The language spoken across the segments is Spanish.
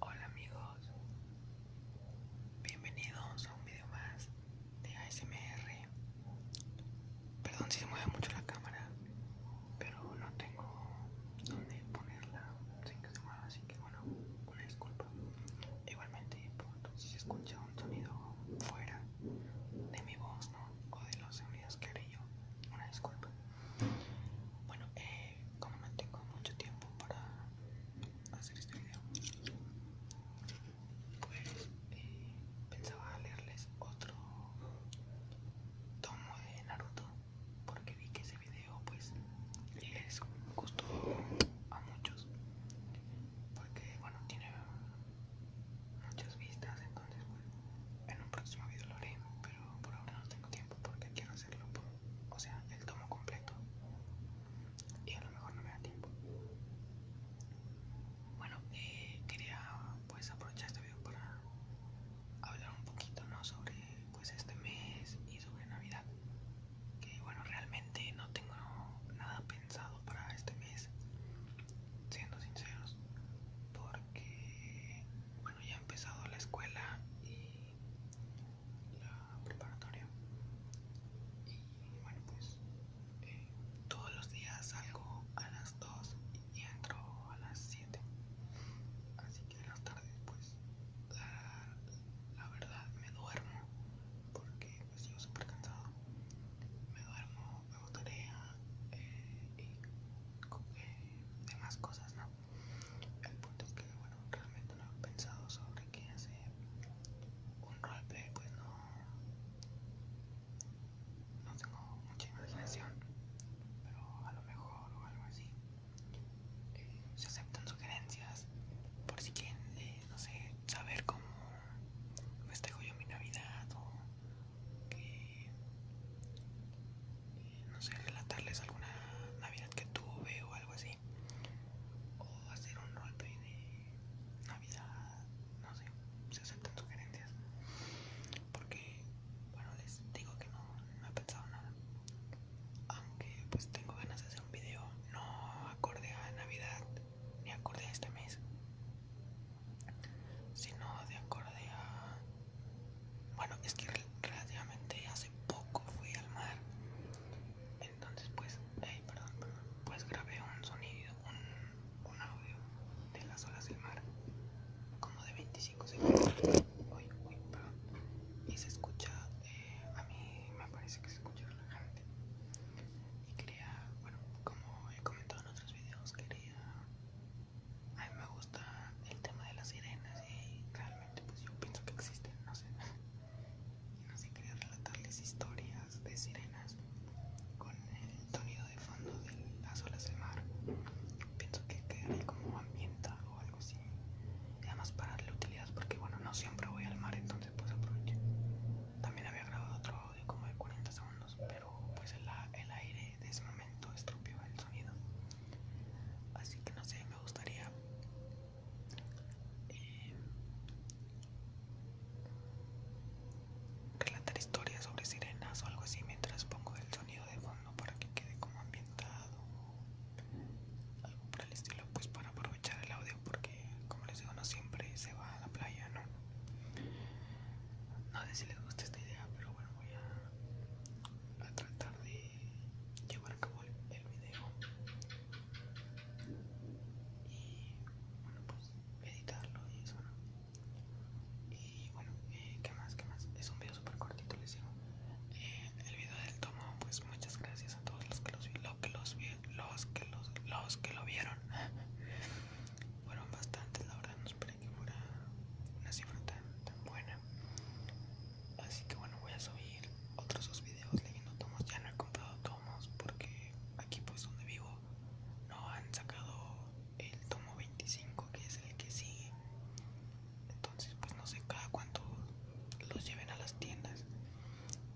Hola amigos, bienvenidos a un video más de ASMR. Perdón si se mueve mucho la cámara, pero no tengo donde ponerla sin que se mueva, así que bueno, una disculpa. Igualmente, si se escucha un sonido fuera de mi voz, ¿no? O de los sonidos que haré yo, una disculpa. Bueno, eh, como no tengo mucho tiempo para hacer este video pues eh, pensaba leerles otro tomo de Naruto porque vi que ese video pues les gustó a muchos porque bueno tiene muchas vistas entonces pues, en un próximo video lo haré pero por ahora no tengo tiempo porque quiero o sea, el tomo completo. Y a lo mejor no me da tiempo. Bueno, eh, quería pues aprovechar este video para hablar un poquito, ¿no? Sobre pues este mes y sobre Navidad. Que bueno, realmente no tengo nada pensado para este mes, siendo sinceros. Porque, bueno, ya he empezado la escuela y la preparatoria y bueno pues eh, todos los días salgo a las 2 y entro a las 7 así que en las tardes pues la, verdad me duermo porque estoy pues, sigo súper cansado me duermo hago tarea eh, y eh, demás cosas el punto es que, bueno, realmente no he pensado sobre qué hacer un roleplay, eh, pues no. No tengo mucha imaginación, pero a lo mejor o algo así. Eh, se aceptan sugerencias por si quieren, eh, no sé, saber cómo festejo yo mi Navidad o que no sé, relatarles alguna Navidad que tuve o algo así. O hacer un roleplay de Navidad, no sé, si aceptan sugerencias. Porque, bueno, les digo que no, no he pensado nada. Aunque pues tengo ganas de hacer un video no acorde a Navidad ni acorde a este mes, sino de acorde a bueno, es que relativamente hace poco fui al mar. Entonces pues, hey, perdón, perdón, pues grabé un sonido, un, audio de las olas del mar, como de 25 segundos. Uy, uy, perdón. Y se escucha, eh, a mí me parece que se escucha relajante. Y quería, bueno, como he comentado en otros videos, quería a mí me gusta el tema de las sirenas y realmente pues yo pienso que existen, no sé. Y no sé, quería relatarles historias de sirenas con el sonido de fondo de las olas del mar. Pienso que quedaría como ambienta o algo así. Y además para darle utilidad porque bueno, no siempre voy al mar, entonces pues aprovecho. También había grabado otro audio como de 40 segundos, pero pues el, aire de ese momento estropeó el sonido. Así que no sé, me gustaría eh, relatar historias sobre sirenas o algo así mientras pongo el sonido de fondo para que quede como ambientado algo por el estilo pues para aprovechar el audio porque como les digo no siempre se va a la playa no no sé si les gusta esta idea pero bueno voy a, tratar de llevar a cabo el, video y bueno pues editarlo y eso ¿no? y bueno eh, qué más qué más es un video súper cortito les digo eh, el video del tomo pues muchas gracias a todos los que los vi, los que los vi, los que los los que lo vieron fueron bastantes, la verdad no esperé que fuera una cifra tan, buena. Así que bueno, voy a subir otros dos videos leyendo tomos. Ya no he comprado tomos porque aquí pues donde vivo no han sacado el tomo 25 que es el que sigue. Entonces pues no sé cada cuánto los lleven a las tiendas.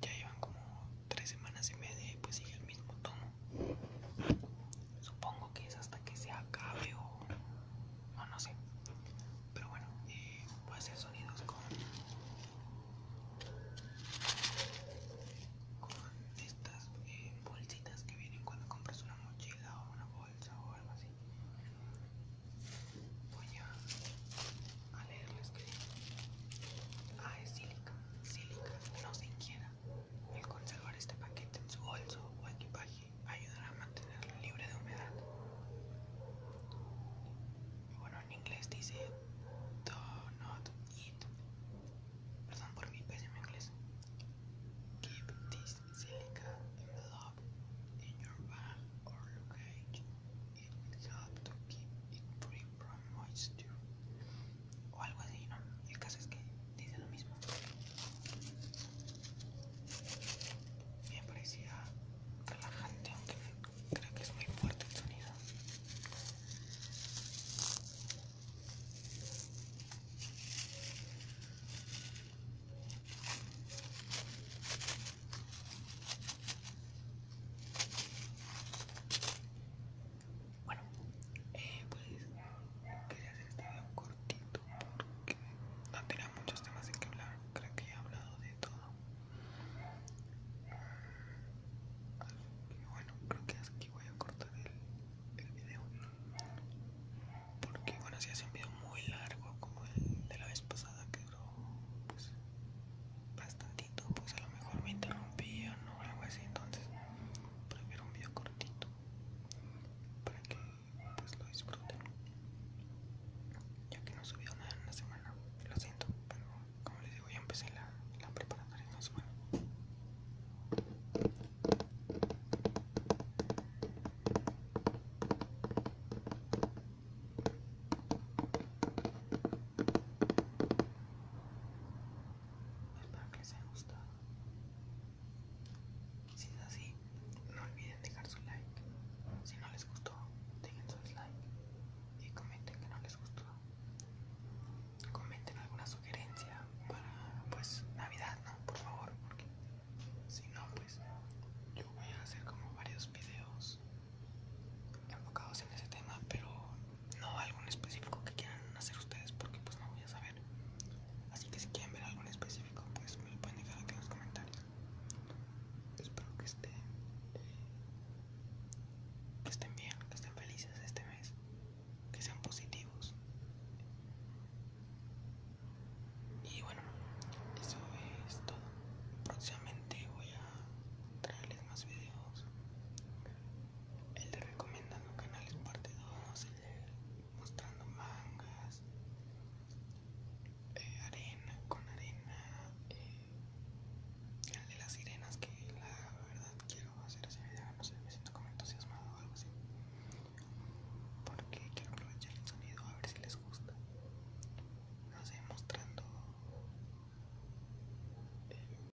Ya llevan como tres semanas y media y pues sigue el mismo tomo. Supongo que es hasta que se acabe o, no sé. Pero bueno, eh, puede voy hacer sonidos con, con estas eh, bolsitas que vienen cuando compras una mochila o una bolsa o algo así. Voy a, leerles que... Ah, es sílica, sílica, no se quiera el conservar este paquete en su bolso o equipaje ayudará a mantenerlo libre de humedad. Bueno, en inglés dice do not eat. Perdón por mi pésimo inglés. Keep this silica envelope in your bag or luggage. It will help to keep it free from moisture o algo así, ¿no? El caso es que dice lo mismo. Me parecía relajante, aunque creo que es muy fuerte el sonido. Bueno, eh, pues quería hacer este video cortito porque no tenía muchos temas en que hablar. Creo que he hablado de todo. bueno, creo que aquí voy a cortar el, el video. Porque bueno, si hace un video muy largo como el de la vez pasada que duró pues bastantito, pues a lo mejor me interrumpí o no, algo así, entonces para ver un video cortito para que pues, lo disfruten ya que no subió nada en la semana lo siento pero como les digo ya empecé la, la preparatoria en la semana Espero que les haya gustado. Si es así, no olviden dejar su like. Si no les gustó, dejen su dislike y comenten que no les gustó. Comenten alguna sugerencia para pues Navidad, ¿no? Por favor, porque si no, pues yo voy a hacer como varios videos enfocados en ese tema, pero no algo específico que quieran hacer ustedes porque pues no voy a saber así que si quieren ver algo específico pues me lo pueden dejar aquí en los comentarios espero que estén estén bien que estén felices este mes que sean positivos y bueno eso es todo próximamente voy a traerles más videos el de recomendando canales parte 2, el mostrando mangas, eh, arena con arena, eh, el de las sirenas que la verdad quiero hacer así video, no sé, me siento como entusiasmado o algo así, porque quiero aprovechar el sonido a ver si les gusta, no sé, mostrando... Eh,